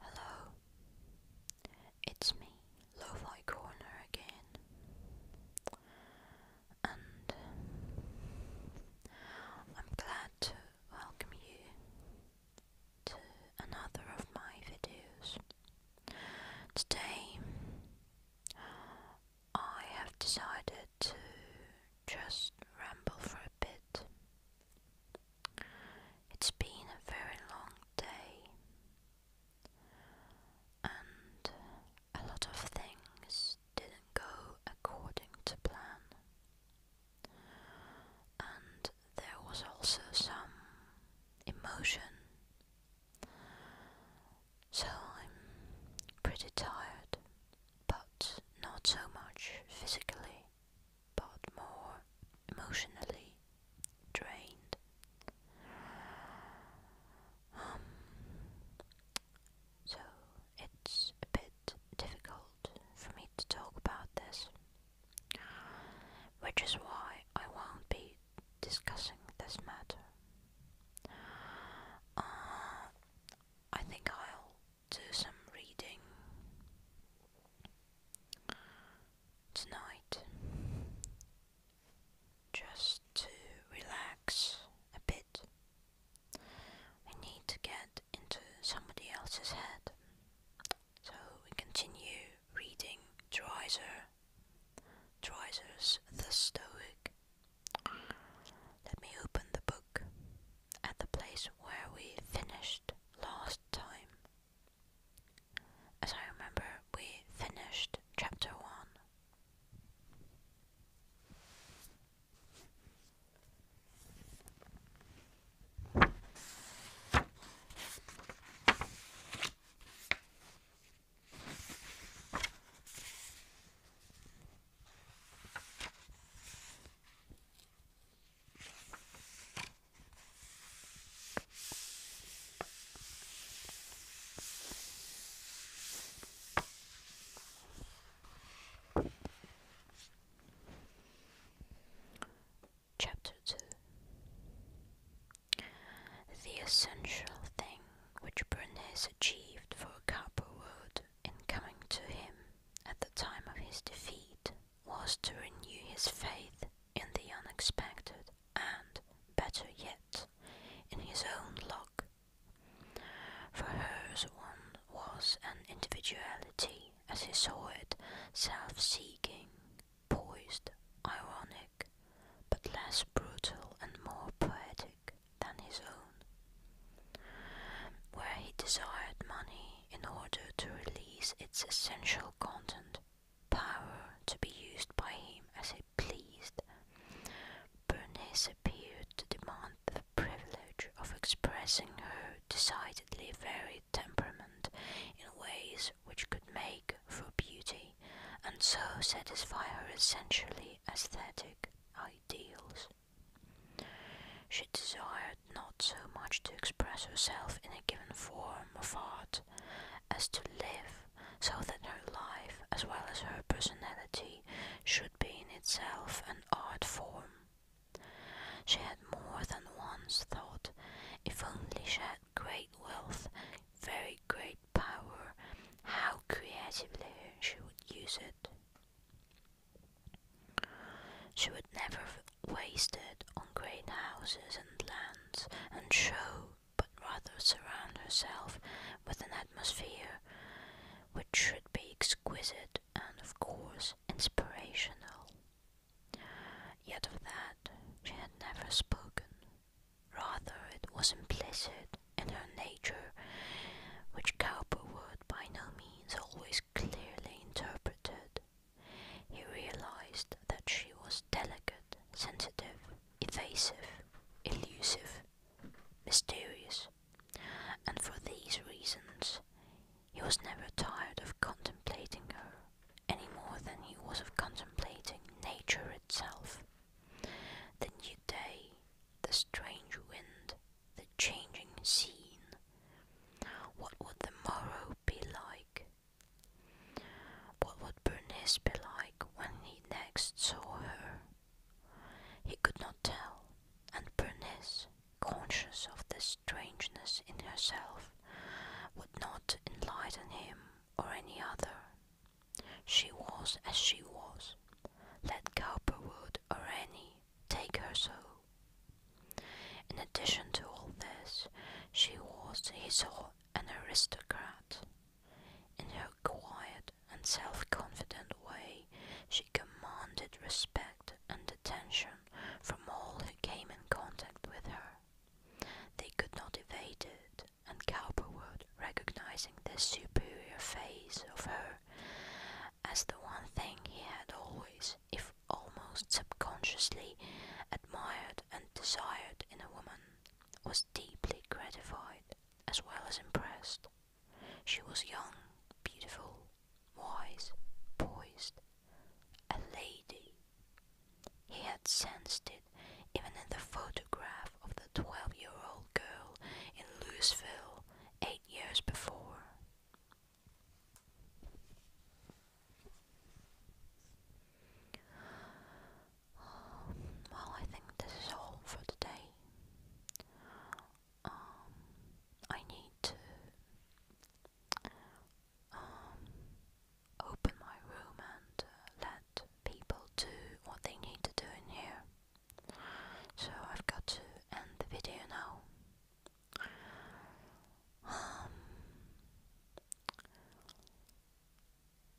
Hello, it's me, Lo-Fi Corner again, and I'm glad to welcome you to another of my videos. Today, I have decided to just ramble for a bit it's been a very long day, and a lot of things didn't go according to plan, and there was also some emotion. So I'm pretty tired, but not so much physically but more emotionally drained. Um, so it's a bit difficult for me to talk about this, which is why I won't be discussing this matter. Uh, I think I'll do some reading tonight just to relax a bit. We need to get into somebody else's head. So we continue reading Dreiser, Dreiser's The Stoic let me open the book at the place where we finished last time. As I remember, we finished chapter 1. Chapter 2 The essential thing which Bernays achieved for Cowper in coming to him at the time of his defeat was to renew his faith in the unexpected and, better yet, in his own luck. For hers one was an individuality, as he saw it, self-seeking, poised, ironic, but less brutal and more poetic than his own, where he desired money in order to release its essential content, power to be used by him as he pleased. Bernice appeared to demand the privilege of expressing her decidedly varied temperament in ways which could make for beauty and so satisfy her essentially aesthetic ideals. She desired not so much to express herself in a given form of art as to live so that her life, as well as her personality, should be in itself an art form. She had more than once thought, if only she had great wealth, very great power, how creatively she would use it. She would never waste it on great houses and lands and show, but rather surround herself with an atmosphere which should be exquisite and, of course, inspirational. Yet of that she had never spoken. Rather, it was implicit in her nature, which Cowperwood by no means always clearly interpreted. He realized that she was delicate, sensitive, evasive, elusive, mysterious, and for these reasons he was never tired of contemplating her, any more than he was of contemplating nature itself. The new day, the strange wind, the changing scene. What would the morrow be like? What would Bernice be like when he next saw her? He could not tell, and Bernice, conscious of the strangeness in herself, would not enlighten him or any other she was as she was. Let Cowperwood or any take her so. In addition to all this, she was, he saw, an aristocrat. In her quiet and self-confident way, she commanded respect and attention from all who came in contact with her. They could not evade it and Cowperwood, recognizing the superior phase of her as the one thing he had always, if almost subconsciously, admired and desired in a woman, was deeply gratified as well as impressed. She was young, beautiful, wise, poised, a lady. He had sensed it even in the photograph of the twelve year old girl in Louisville eight years before. Well, I think this is all for today. Um, I need to um, open my room and uh, let people do what they need to do in here. So I've got to end the video now. Um,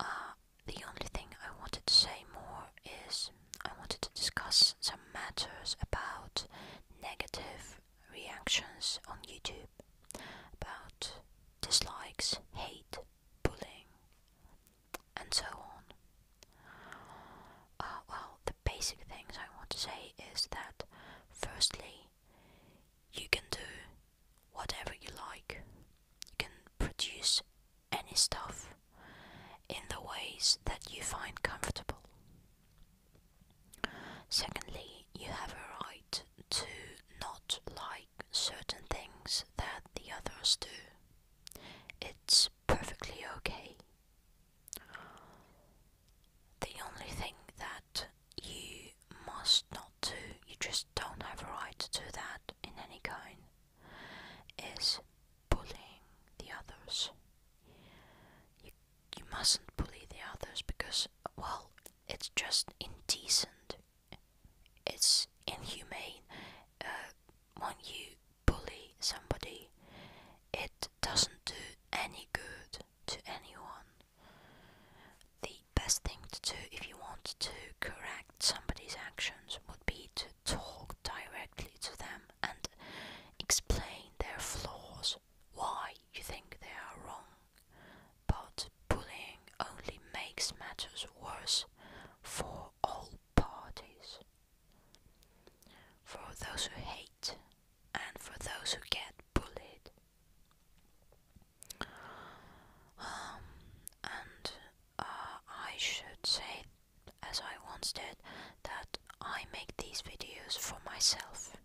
uh, the only thing I wanted to say more is I wanted to discuss some matters about negative reactions on YouTube about dislikes, hate, bullying, and so on. Uh, well, the basic things I want to say is that firstly, you can do whatever you like, you can produce any stuff in the ways that you find comfortable. Secondly, you have a right to not like certain things that the others do. It's perfectly okay. The only thing that you must not do, you just don't have a right to do that in any kind, is bullying the others you mustn't bully the others because, well, it's just indecent. It's inhumane. Uh, when you bully somebody, it doesn't do any good to anyone. The best thing to do if you want to correct somebody's actions would be to talk directly to them and explain their flaws why you think they are wrong, but bullying only makes matters worse for all parties. For those who hate and for those who get bullied. Um, and uh, I should say, as I once did, that I make these videos for myself.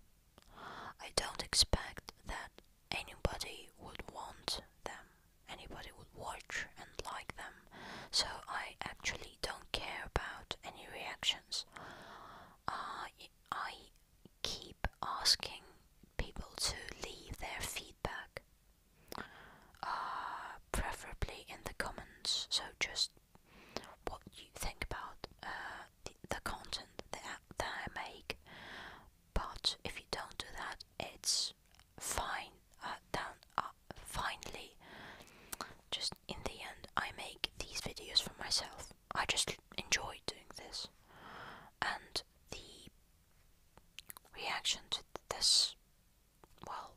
I don't expect that anybody would want them, anybody would watch and like them, so I actually don't care about any reactions. I, uh, I keep asking people to leave their feedback, uh, preferably in the comments, so just what you think about uh, the, content that, I make. But if you don't do that, it's fine. Uh, down, uh, finally, just in the end, I make these videos for myself. I just enjoy doing this, and the reaction to this, well,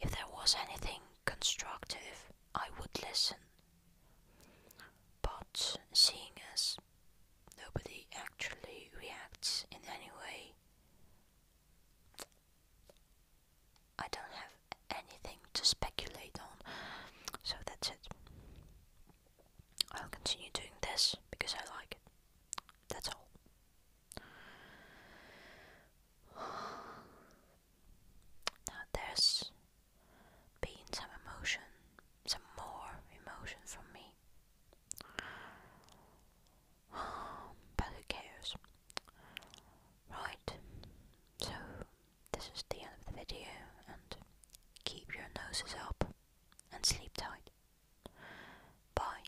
if there was anything constructive, I would listen. But seeing as nobody actually reacts in any way, I don't have anything to speculate on, so that's it. I'll continue doing this because I like it. That's all. Now there's been some emotion, some more emotion from me. But who cares? Right, so this is the end of the video, and keep your noses up and sleep tight. Bye.